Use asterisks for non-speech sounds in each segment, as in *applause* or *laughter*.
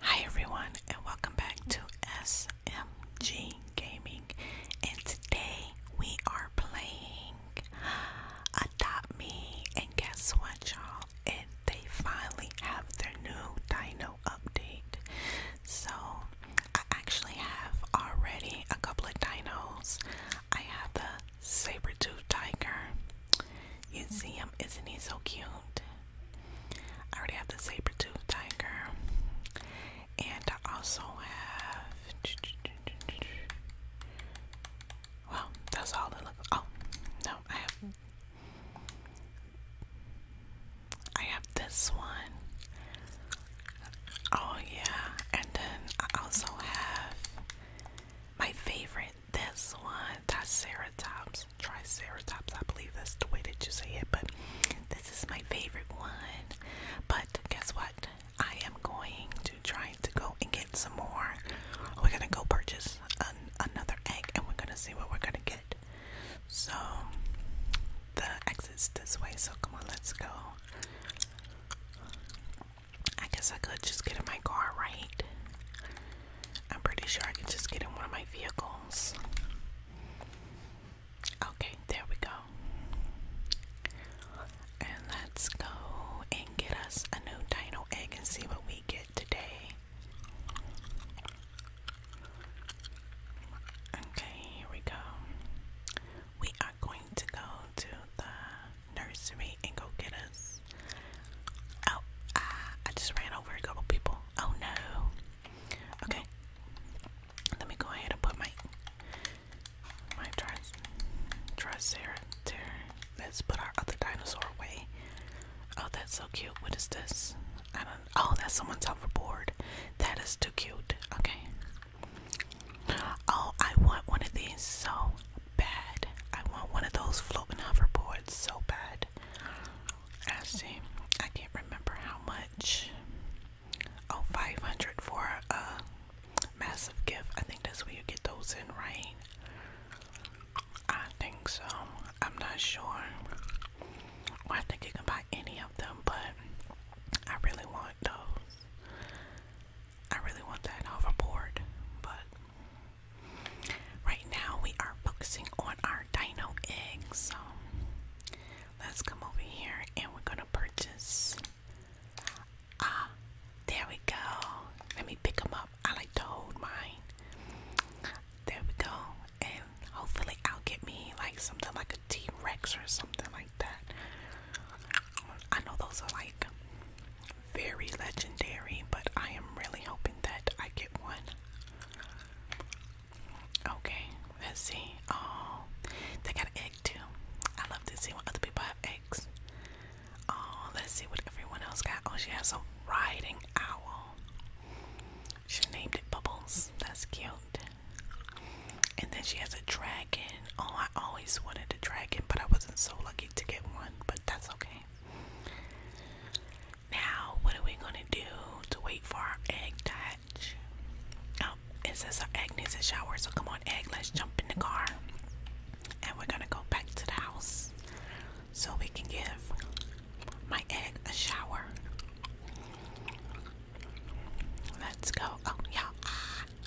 Hi everyone and welcome back to SMG Gaming and today we are playing Adopt Me and guess what y'all and they finally have their new dino update. So I actually have already a couple of dinos. I have the saber-tooth tiger. You see him, isn't he so cute? I already have the saber tooth tiger, and I also have. Well, that's all that look. Oh, no, I have. I have this one. Oh yeah, and then I also have my favorite this one, Triceratops, Triceratops, I believe that's the way that you say it, but this is my favorite one. But guess what? I am going to try to go and get some more. We're gonna go purchase another egg and we're gonna see what we're gonna get. So, the exit's this way, so come on, let's go. I guess I could just get in my car, right? I'm pretty sure I can just get in one of my vehicles. Okay, there we go. And let's go and get us a new dino egg and see what we get today. Okay, here we go. We are going to go to the nursery and go get us Oh, uh, I just ran over a couple people. Oh no. Okay. Let me go ahead and put my my tris triceratops. Let's put our other dinosaur away. Oh, that's so cute. What is this? I don't. Oh, that's someone's hoverboard. That is too cute. Okay. Oh, I want one of these so bad. I want one of those floating hoverboards so bad. I see. I can't remember how much. 500 for a massive gift. I think that's where you get those in, right? I think so. I'm not sure. I think you can buy any of them, but I really want those. I really want that hoverboard, but Right now we are focusing on our dino eggs. So let's come over here and we're gonna purchase. Ah, there we go. Let me pick them up. I like to hold mine. There we go. And hopefully I'll get me like something like a T-Rex or something like that. I know those are like very legendary, but I am really hoping that I get one. Okay, let's see. Oh, they got an egg too. I love to see when other people have eggs. Oh, let's see what everyone else got. Oh, she has a riding owl. She named it Bubbles. That's cute. And then she has a dragon. Oh, I always wanted a dragon, but I wasn't so lucky to get one, but that's okay. Now, what are we gonna do to wait for our egg touch? Oh, it says our egg needs a shower, so come on, egg, let's jump in the car. And we're gonna go back to the house so we can give my egg a shower. Let's go. Oh, yeah,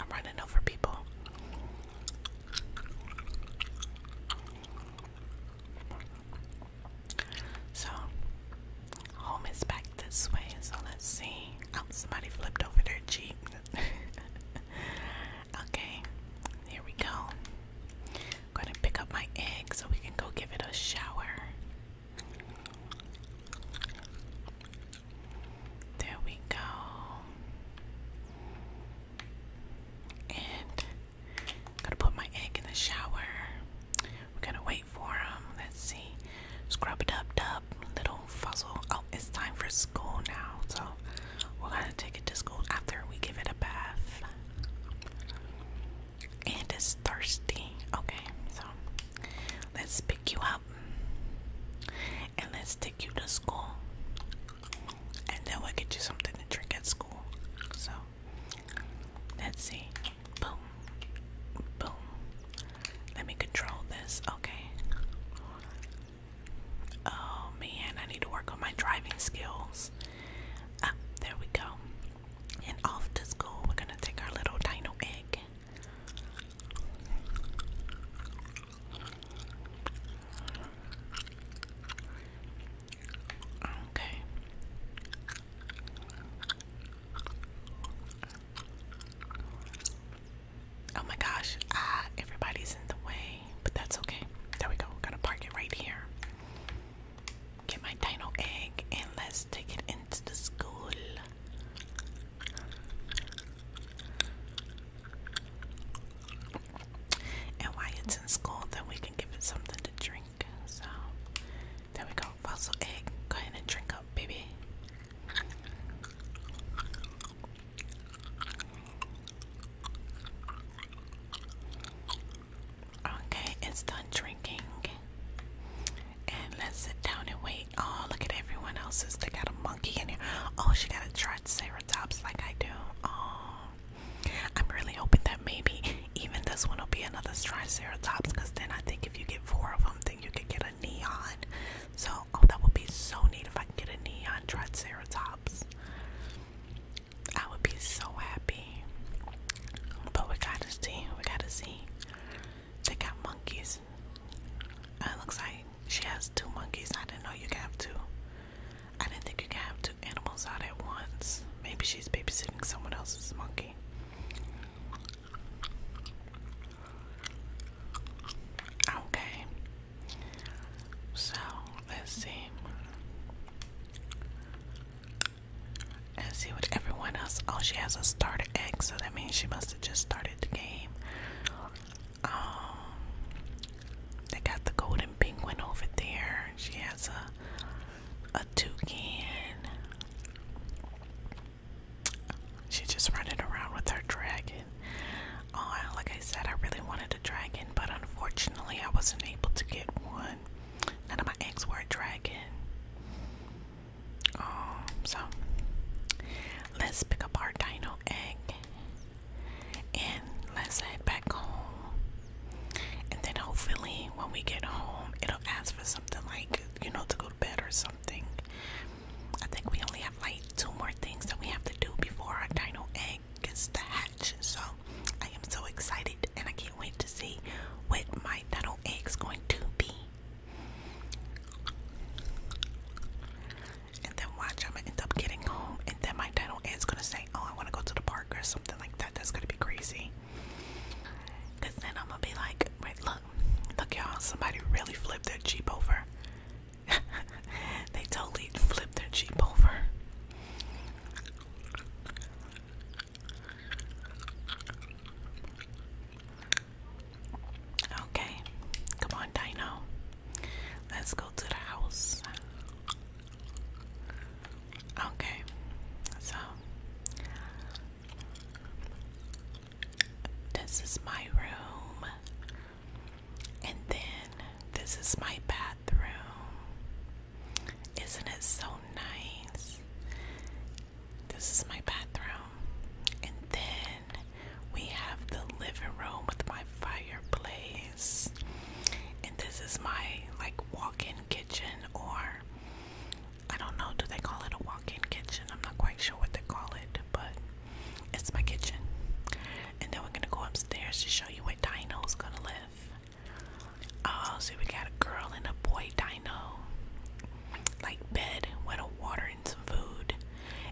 I'm running over people. So, home is back this way. So, let's see. Oh, somebody flipped over their Jeep. *laughs* okay, here we go. going to pick up my egg so we can go give it a shower. There we go. And i to put my egg in the shower. We're gonna wait for him. Let's see. Scrub it dub, little fuzzle. Oh, it's time for school now. So we're gonna take it to school after we give it a bath. And it's thirsty. Okay, so let's pick you up and let's take you to school and then we'll get you something to drink at school. So let's see. Boom. Boom. Let me control this. Okay. Oh man, I need to work on my driving skills. Ah, there we go. And off to school, we're gonna take our little dino egg. Okay. Oh my gosh, ah, everybody's in the way, but that's okay. There we go, going to park it right here. Get my dino egg and let's take it into the school. And while it's in school, then we can give it something to drink. So, there we go. Fossil egg. Go ahead and drink up, baby. Okay, it's done drinking. And let's sit down and wait. Oh, look at everyone else's. They got a monkey in here. Oh, she got a triceratops like I do. Oh, I'm really hoping that maybe even this one will be another Triceratops because then I think if you get four of them, then you could get a neon. So, oh, that would be so neat if I could get a neon Triceratops. I would be so happy. But we gotta see, we gotta see. They got monkeys. Uh, it looks like she has two monkeys. I didn't know you could have two. I didn't think you could have two animals out at once. Maybe she's babysitting someone else's monkey. Okay. So let's see. Let's see what everyone else. Oh, she has a starter egg, so that means she must have just started the game. Um, they got the golden penguin over there. She has a a toucan. She's just running around with her dragon. Oh, like I said, I really wanted a dragon, but unfortunately, I wasn't able to get one. None of my eggs were a dragon. Um, so let's pick up our dino egg and let's head back home. And then hopefully, when we get home, it'll ask for something like, you know, to go to bed or something. I think we only have like two more things that we have to do before our dino egg gets the hatch. So I am so excited and I can't wait to see what my dino egg's going to be and then watch, I'm gonna end up getting home, and then my Dino is gonna say, Oh, I wanna go to the park or something like that. That's gonna be crazy. then I'm gonna be like, Wait, look, look, y'all, somebody really flipped their Jeep over. *laughs* they totally flipped their Jeep over. Okay, come on, Dino. Let's go to the house. Okay, so this is my room, and then this is my bathroom. Isn't it so nice? This is my bathroom, and then we have the living room with my fireplace. And this is my like walk-in kitchen or I don't know, do they call it a walk-in kitchen? I'm not quite sure what they call it, but it's my kitchen. And then we're gonna go upstairs to show you where Dino's gonna live. Oh, so we got a girl and a boy dino. Like bed with a water and some food.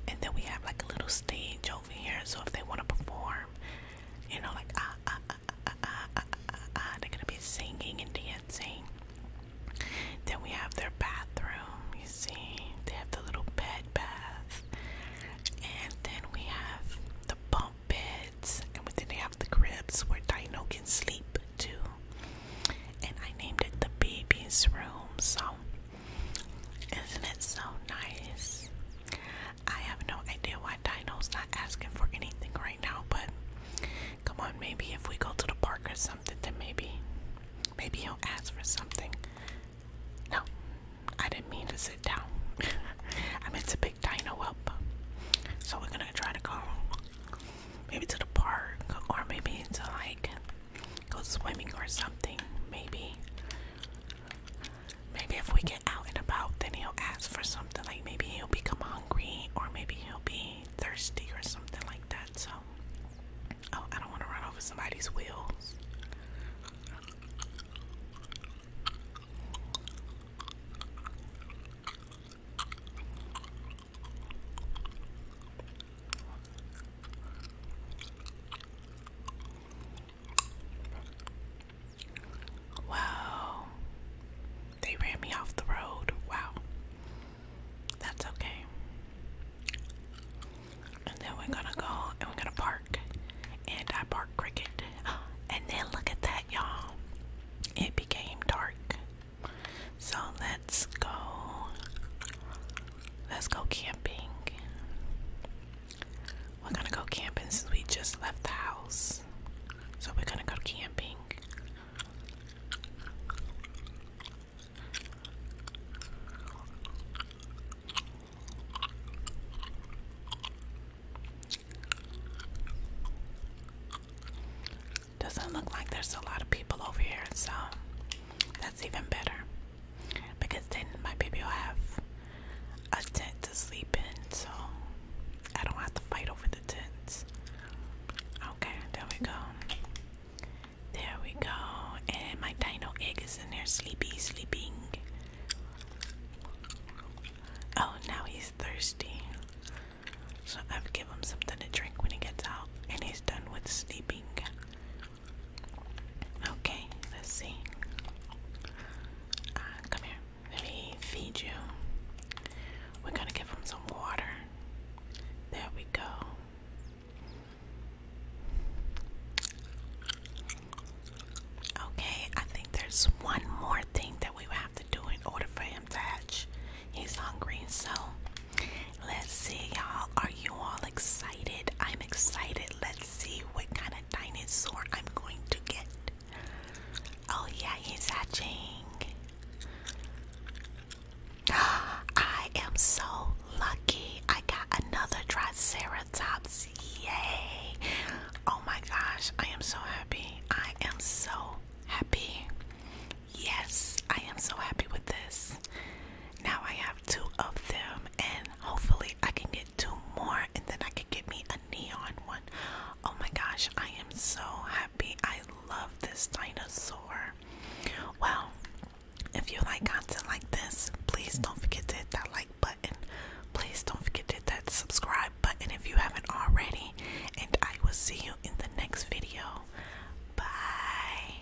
And then we have like a little stage over here. So if they want to perform, you know, like ah ah ah ah ah ah ah, ah they're gonna be singing and dancing. Then we have their bathroom. You see, they have the little bed bath, and then we have the bump beds, and then they have the cribs where Dino can sleep too. And I named it the baby's room. So isn't it so nice? I have no idea why Dino's not asking for anything right now, but come on, maybe if we go to the park or something, then maybe, maybe he'll ask for something. No, I didn't mean to sit down. *laughs* I meant to pick Dino up. So we're gonna try to go maybe to the park or maybe to like go swimming or something. Maybe Maybe if we get out and about, then he'll ask for something. Like maybe he'll become hungry, or maybe he'll be thirsty, or something like that. So, oh, I don't want to run over somebody's wheels. Wow. They ran me off the road. Wow. That's okay. And then we're gonna go and we're gonna park. And I park cricket. *gasps* And then look at that, y'all. It became dark. So let's go. Let's go camping. We're gonna go camping since we just left the house. So we're gonna go camping. Doesn't look like there's a lot of people over here, so that's even better because then my baby will have a tent to sleep in, so I don't have to fight over the tents. Okay, there we go. There we go. And my dino egg is in there, sleepy, sleeping. Oh, now he's thirsty. So I've give him something to drink when he gets out, and he's done with sleeping. Okay, let's see. Uh, come here. Let me feed you. We're gonna give him some water. There we go. Okay, I think there's one more thing that we have to do in order for him to hatch. He's hungry, so let's see, y'all you all excited? I'm excited. Let's see what kind of dinosaur I'm going to get. Oh, yeah, he's hatching. *gasps* I am so lucky. I got another Triceratops. Yay! Oh my gosh, I am so happy. I am so happy. Yes, I am so happy with this. Now I have two of them, and hopefully I can get two more and then I can get me a neon one. Oh my gosh, I am so happy. I love this dinosaur. Well, if you like content like this, please don't forget to hit that like button. Please don't forget to hit that subscribe button if you haven't already. And I will see you in the next video. Bye.